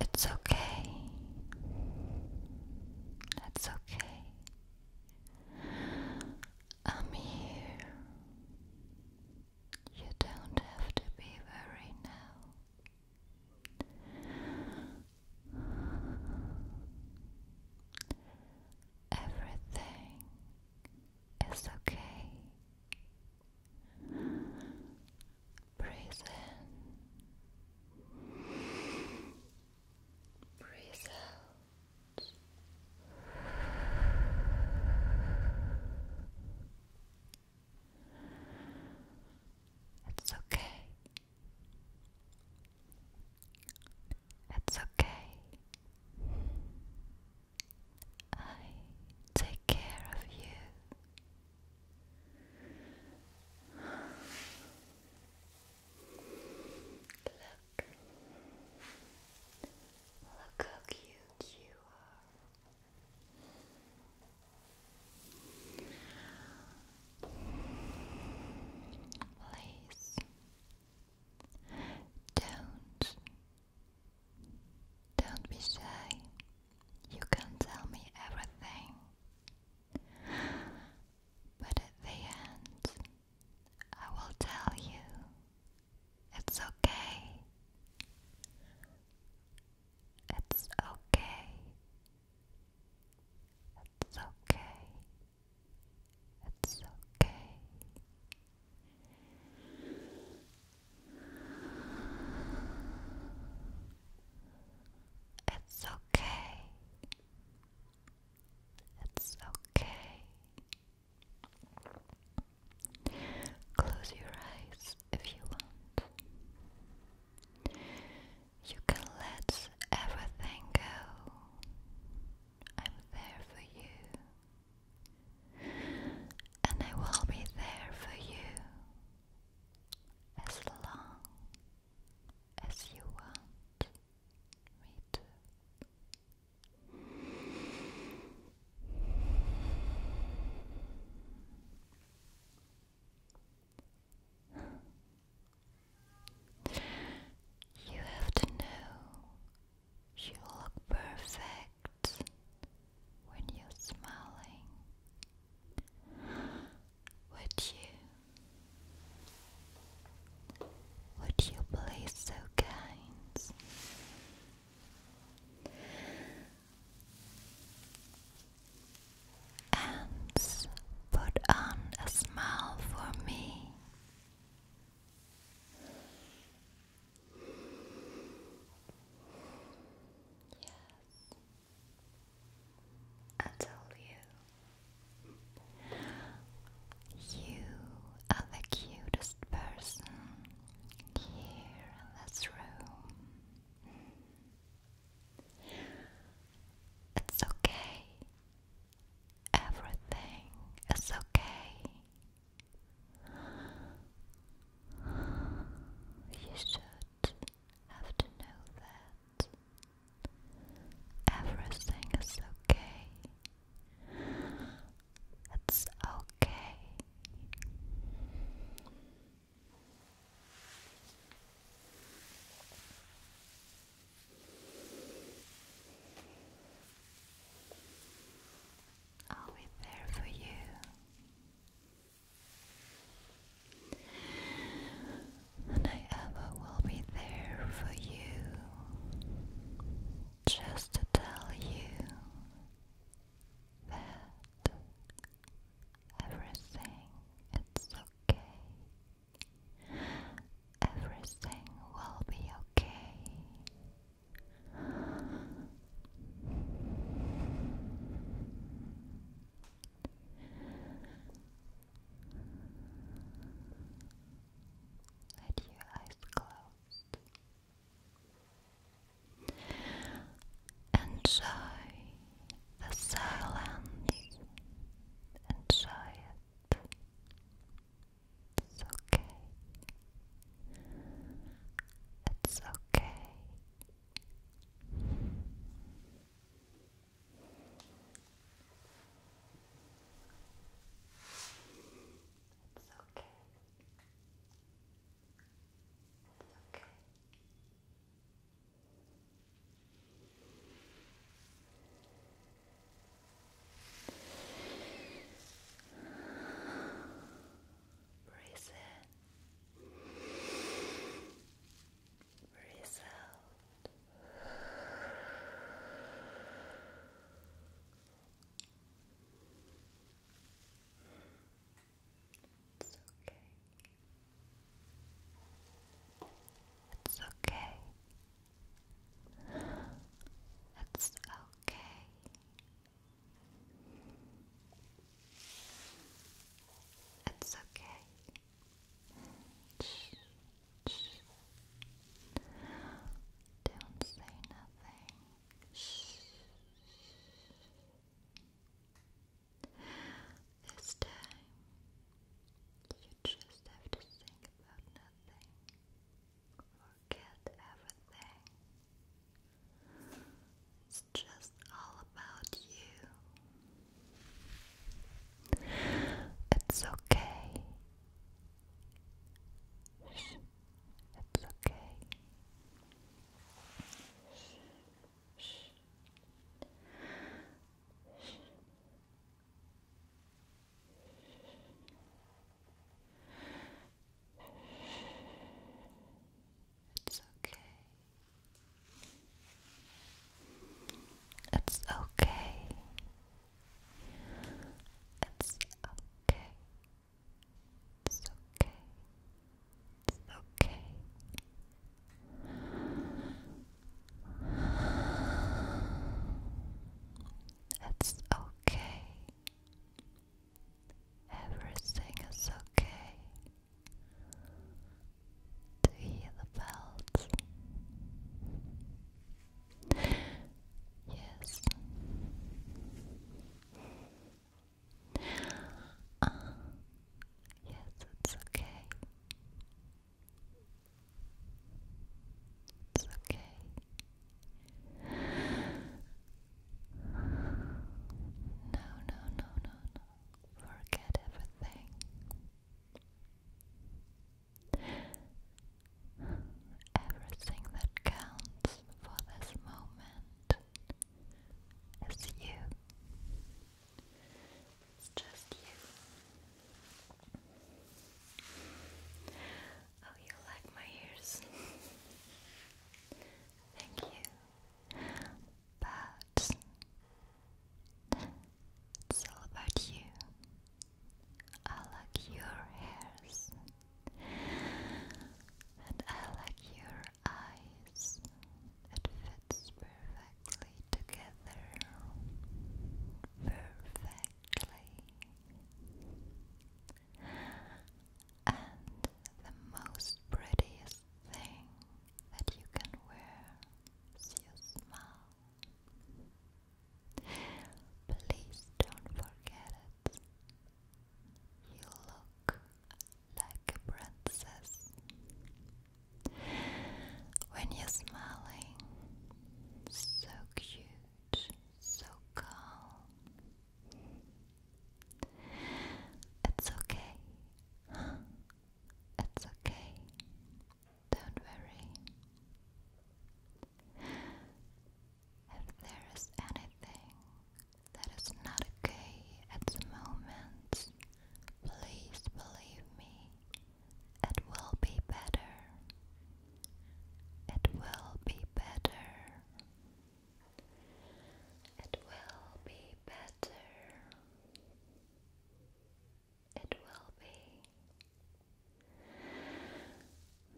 It's okay. It's okay. I'm here. You don't have to be worried now. Everything is okay. Breathe in, breathe out. It's okay. It's okay. I take care of you. Look back. Look how cute you are. Please don't don't be shy. You can tell me everything. But at the end, I will tell you. It's okay. It's okay. It's okay. It's okay. It's okay. It's okay. Close your eyes if you want. You can let everything go. I'm there for you. And I will be there for you as long as you want. Me too. You have to know you look perfect when you're smiling. Would you would you please so kind? And put on a smile for me. Yes, I told you you are the cutest person here in this room. It's okay. Everything is okay. You should have to know that. Everything is okay. It's okay. I'll be there for you and I ever will be there for you just to tell you that everything is okay. Everything will be okay. Let your eyes closed. Enjoy the silence. Enjoy it. It's okay. It's okay. It's okay. It's okay. Breathe in. Breathe out. It's okay. It's okay. It's okay. It's okay. Don't say nothing. This time, you just have to think about nothing. Forget everything. It's just loves all about you. It's okay. It's okay. It's okay. It's okay. It's okay. It's okay. It's okay. It's okay. Everything is okay to hear the bells. Yes. Ah, yes, it's okay. It's okay. No, no, no, no, no forget everything. Everything that counts for this moment is you. It's just you. Oh, you like my ears? Thank you. But it's all about you. I like your hairs, and I like your eyes. It fits perfectly together. Perfectly. And the most prettiest thing that you can wear is your smile. Please don't forget it. You look like a princess. When you're smiling, so cute, so calm, it's okay. It's okay. Don't worry. If there is anything that is not okay at the moment, please believe me, it will be better. It will be better. It will be better. It will be.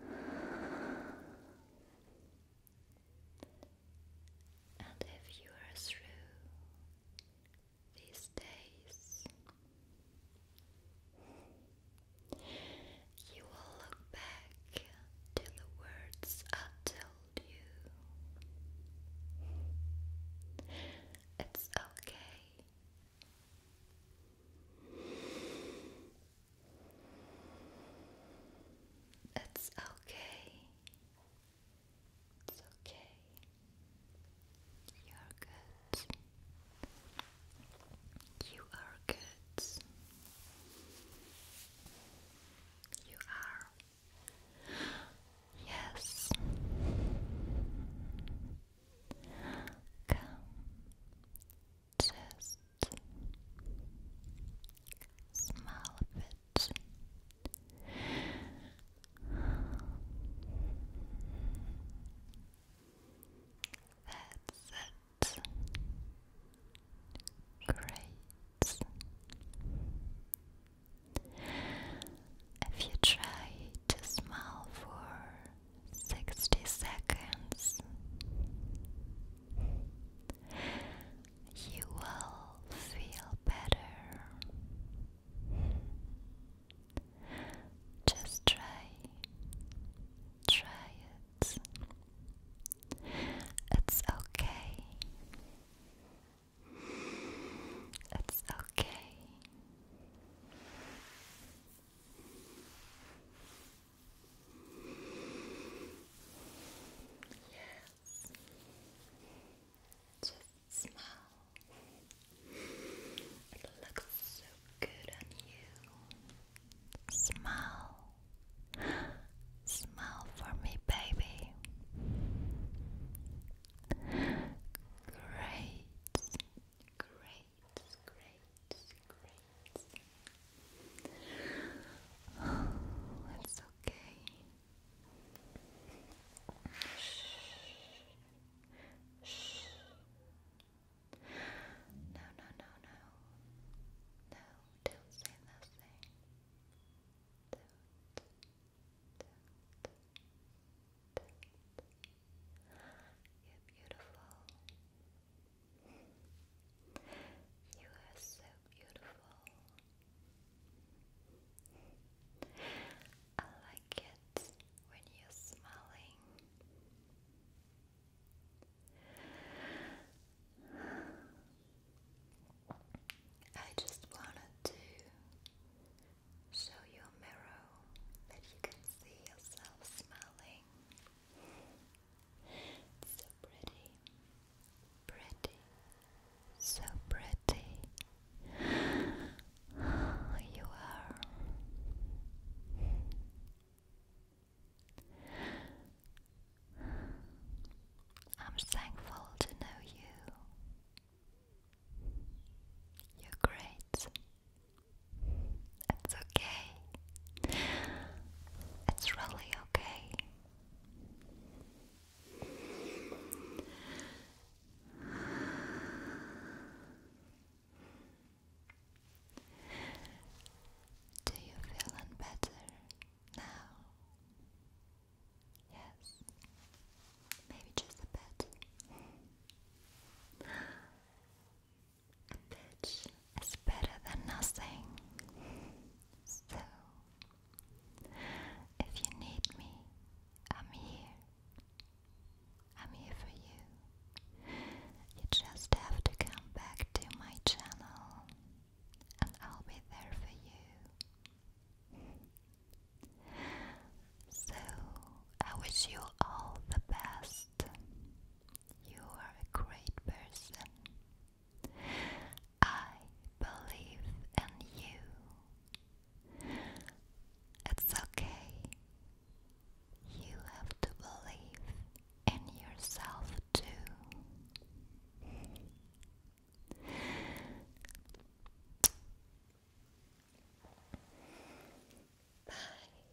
And if you are through these days, you will look back to the words I it's okay. It's okay. It's okay. You're good. You are good. You are. Yes. Just smell That's it. Great. If you try to smile for 60 seconds, you will feel better. Just try, try it. It's okay. It's okay. Yes. Just smile. It looks so good on you. Smile. Smile for me, baby. Great. Great, great, great. it's okay. Shh. Shh. No, no, no, no. No, don't say those You're beautiful. You are so beautiful. I like it when you're smiling. I just wanted to show you a mirror that you can see yourself smiling. so pretty, pretty, so pretty. You are. I'm thankful to know you. You're great. It's okay. It's really okay. Do you feeling better now? Yes, maybe just a bit. A bit better than nothing. So, if you need me, I'm here. I'm here for you. You just have to come back to my channel and I'll be there for you. So, I wish you all the best. You are a great person. I believe in you. It's okay. You have to believe in yourself too. Bye. Bye.